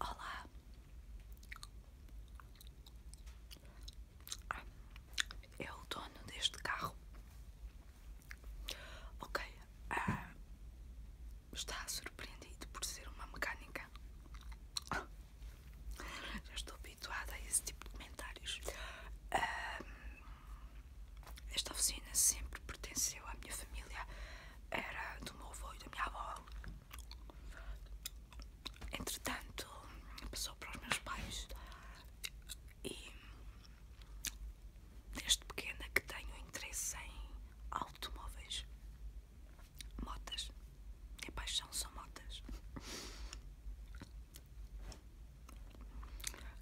Olá. É o dono deste carro. Ok. Ah, está surpreendido por ser uma mecânica. já estou habituada a esse tipo de comentários. Ah, esta oficina sempre pertenceu à minha família, era do meu avô e da minha avó. Entretanto, passou para os meus pais e desde pequena que tenho interesse em automóveis, motas. Minha paixão são motas.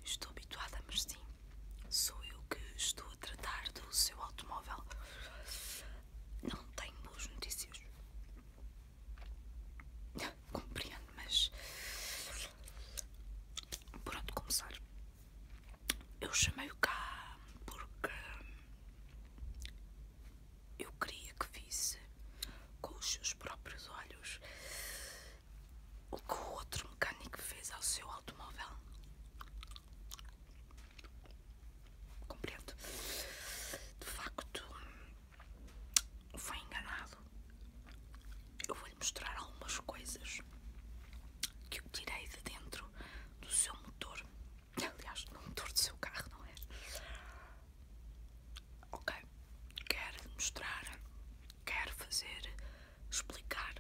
Estou habituada, mas sim, sou eu que estou a tratar do seu automóvel. Não tenho boas notícias. Compreendo, mas. pronto começar? Eu chamei-o cá porque. Eu queria que visse com os seus próprios olhos o que o outro mecânico fez ao seu automóvel. Compreendo. De facto, foi enganado. Eu vou-lhe mostrar algumas coisas que eu tirei de dentro do seu motor. Aliás, no motor do seu carro, não é? ok, quero mostrar, quero fazer, explicar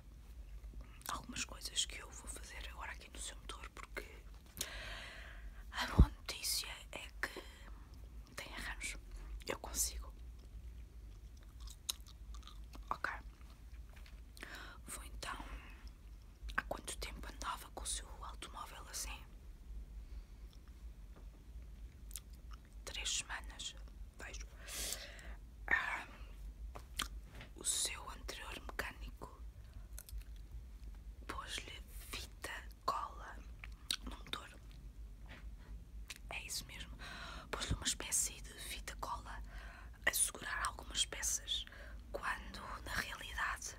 algumas coisas que eu vou fazer agora aqui no seu motor, porque a boa notícia é que tem arranjo, eu consigo. Ok, vou então. Há quanto tempo andava com o seu automóvel assim? três semanas vejo o seu anterior mecânico pôs-lhe fita cola no motor é isso mesmo pôs-lhe uma espécie de fita cola a segurar algumas peças quando na realidade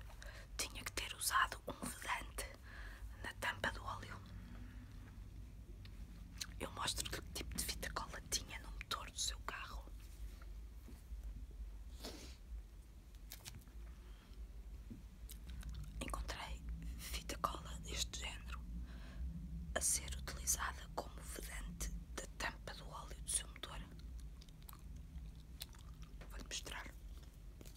tinha que ter usado um vedante na tampa do óleo. Eu mostro que tipo de fita cola tinha no motor do seu carro. Encontrei fita cola deste género a ser utilizada como vedante da tampa do óleo do seu motor. Vou-lhe mostrar.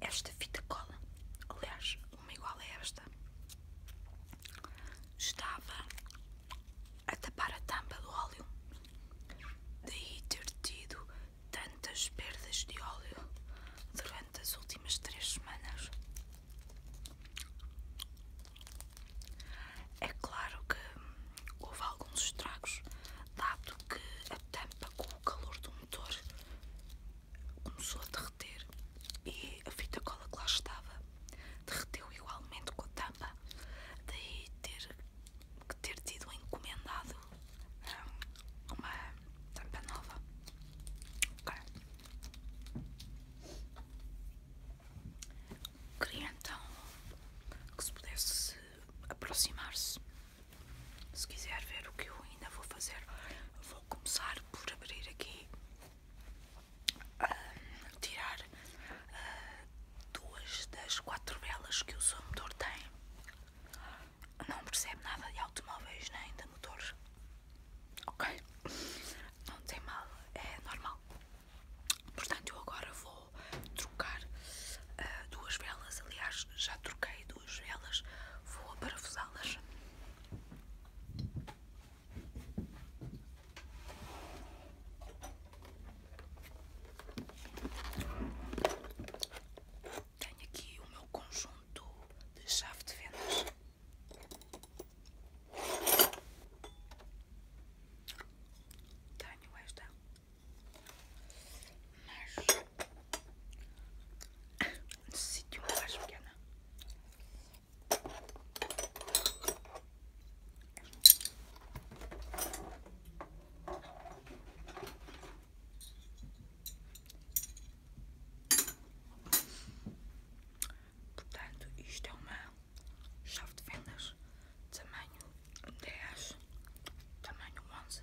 Esta fita cola, aliás, uma igual a esta, estava a tapar a tampa do óleo, daí ter tido tantas perdas de óleo durante as últimas três semanas. É claro que houve alguns estragos, dado que a tampa com o calor do motor começou a derreter e a fita cola que lá estava derreteu igualmente com a tampa lá. Daí ter, ter tido encomendado uma tampa nova. Okay. Queria então que se pudesse aproximar-se. Se quiser ver o que eu ainda vou fazer, vou começar por abrir aqui ah, tirar ah, duas das quatro velas que o seu motor tem. Não percebe nada de automóveis nem de motores. Ok? Não tem mal, é normal. Portanto, eu agora vou trocar ah, duas velas. Aliás, já troquei duas velas. Vou parafusá-las. Tenho aqui o meu conjunto de chave de vendas. Tenho esta, mas necessito uma mais pequena. Portanto, isto é uma chave de vendas tamanho dez tamanho onze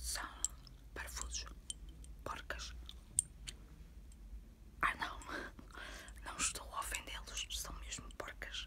São parafusos, porcas. Ah não, não estou a ofendê-los, são mesmo porcas.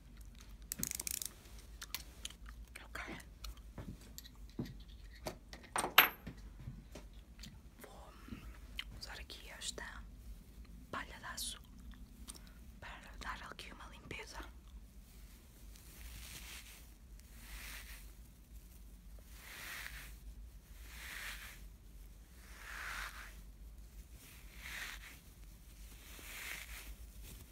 Vou usar aqui esta palhadaço para dar aqui uma limpeza.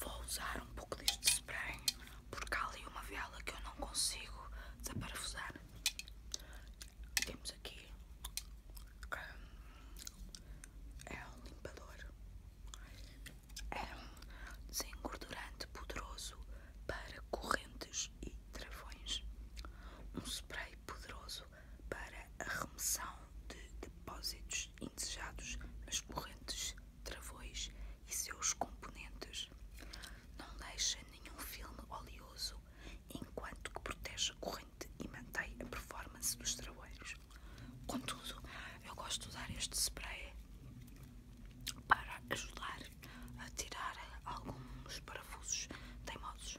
Vou usar um pouco deste spray porque há ali uma vela que eu não consigo desaparafusar. Temos aqui hum, é um limpador, é um desengordurante poderoso para correntes e travões, um spray poderoso para a remoção de depósitos indesejados nas correntes, travões e seus componentes, não deixa nenhum filme oleoso, enquanto que protege a corrente e mantém a performance dos trabalhos. Contudo, eu gosto de usar este spray para ajudar a tirar alguns parafusos teimosos.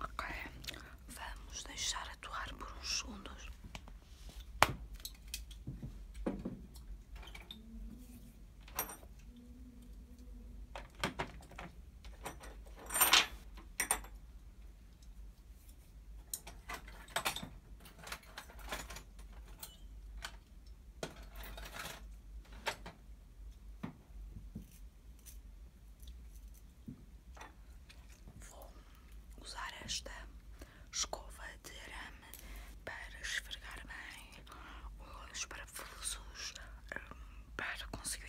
Ok, vamos deixar atuar por uns segundos. Vou usar esta escova de arame para esfregar bem os parafusos hum, para conseguir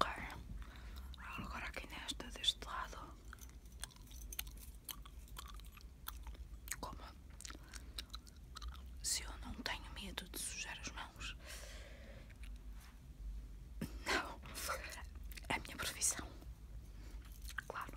Ok, agora aqui nesta, deste lado, como se eu não tenho medo de sujar as mãos, não, é a minha profissão, claro.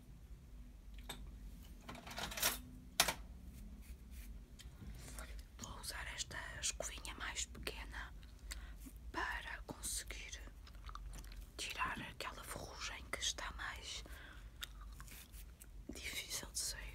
Vou usar esta escovinha mais pequena para conseguir tirar aquela ferrugem que está mais difícil de sair.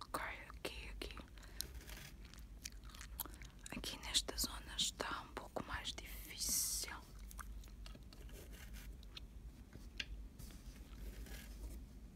Ok, aqui, aqui. Aqui nesta zona está um pouco mais difícil.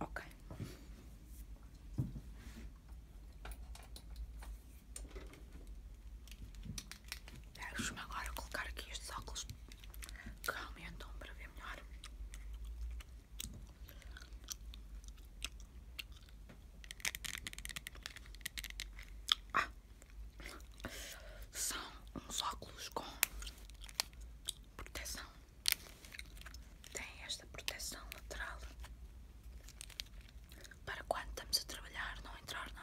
Ok. Deixo-me agora colocar aqui estes óculos que aumentam para ver melhor. Ah, são uns óculos com proteção. Tem esta proteção lateral para quando estamos a trabalhar não entrar nada.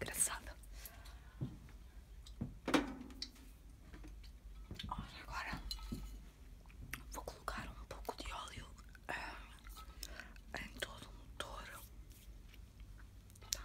Engraçada. agora vou colocar um pouco de óleo eh, em todo o motor. Tá.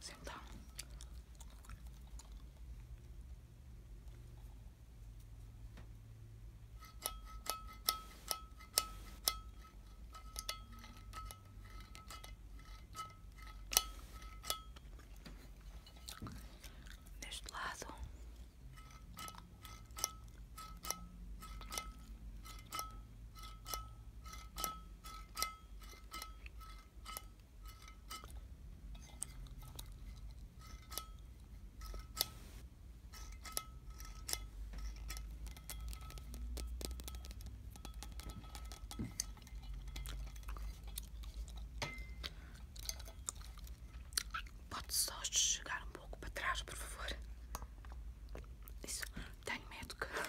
sentar. Deste lado Pode só chegar um pouco para trás, por favor. Isso, tenho medo que.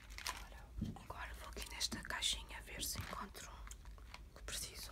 Agora, vou aqui nesta caixinha ver se encontro o que preciso.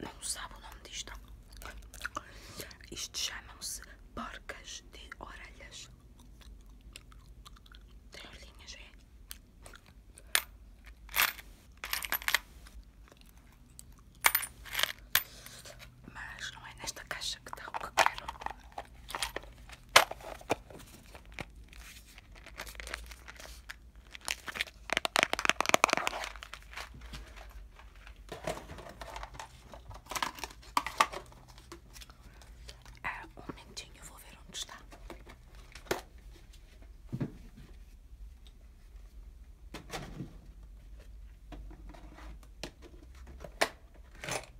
Não sabe o nome disto. Isto chamam-se porcas de orelhas. Tem orelhinhas, é? mas não é nesta caixa que está o que quero. Ah, um momentinho, vou ver onde está.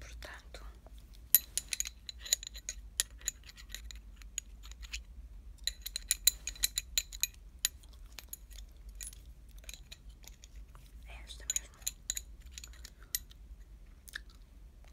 Portanto, é esta mesmo.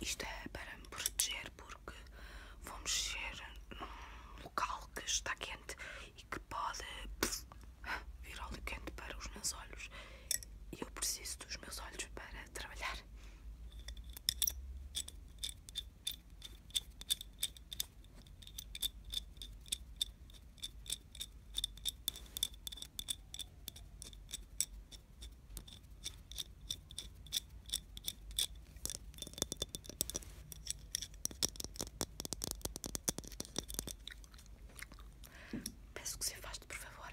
Isto é para me proteger porque vou mexer num local que está quente e que pode pff, vir óleo quente para os meus olhos eu preciso dos meus olhos para trabalhar. Peço que se afaste, por favor.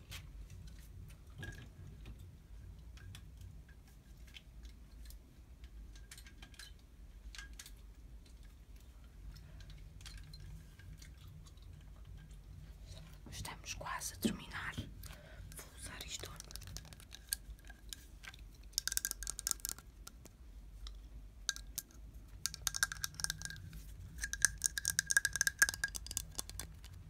Estamos quase a terminar. Vou usar isto.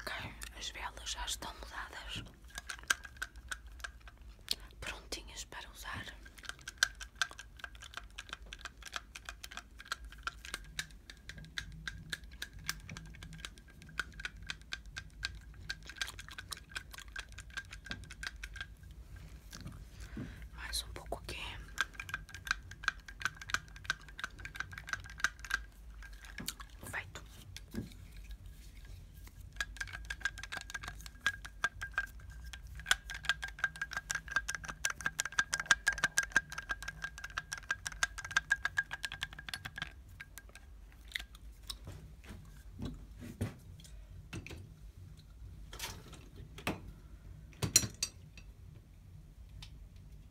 Ok, as velas já estão mudadas, prontinhas para usar. Mais um pouco aqui. Feito agora com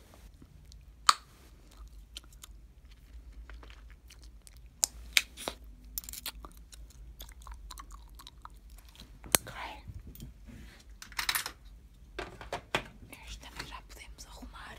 Ok. Este também já podemos arrumar.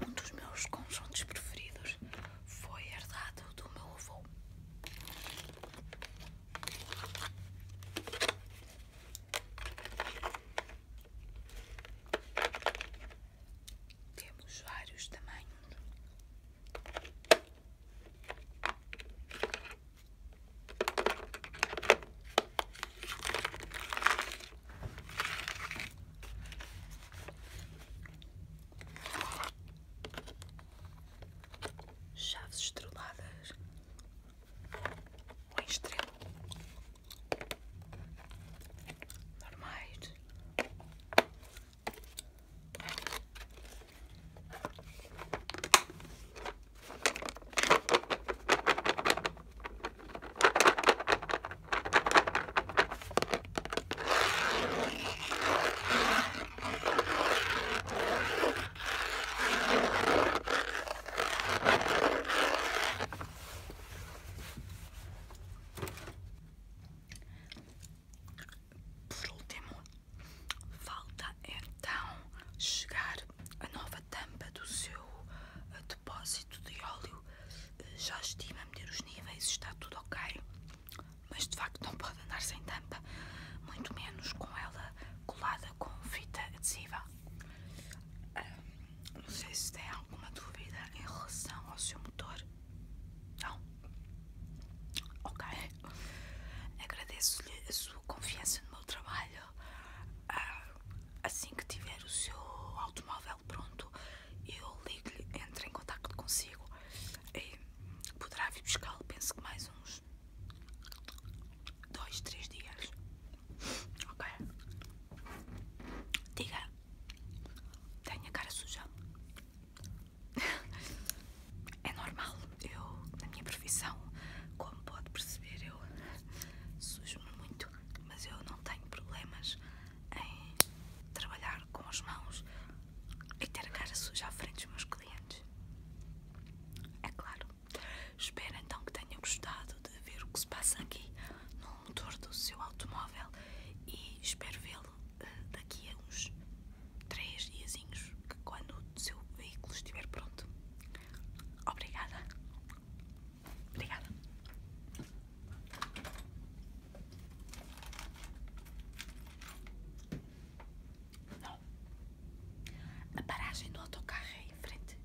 Um dos meus conjuntos preferidos foi herdado do meu avô. Temos vários tamanhos. Chaves estreladas um em estrela normais. Por último, falta é então chegar a nova tampa do seu eh, depósito de óleo. Eh, já estima medir os níveis, está tudo ok. Mas de facto não pode andar sem tampa, muito menos com ela colada com fita adesiva. Ah, não sei se tem alguma dúvida em relação ao seu motor. Não? Ok. Agradeço-lhe a sua confiança no meu trabalho ah, assim que tiver o seu automóvel pronto, eu ligo-lhe, entro em contato consigo e poderá vir buscá-lo, penso que mais uns dois, três dias. Ok? Diga, tenho a cara suja. é normal, eu, na minha profissão, como pode perceber, eu sujo-me muito, mas eu não tenho problemas em trabalhar com as mãos e ter a cara suja à frente dos meus clientes. É claro. Espero então que tenham gostado de ver o que se passa aqui no motor do seu automóvel e espero vê-lo eh, daqui a uns 3 diazinhos, quando o seu veículo estiver pronto. Obrigada. Obrigada. Não. A paragem do autocarro é em frente.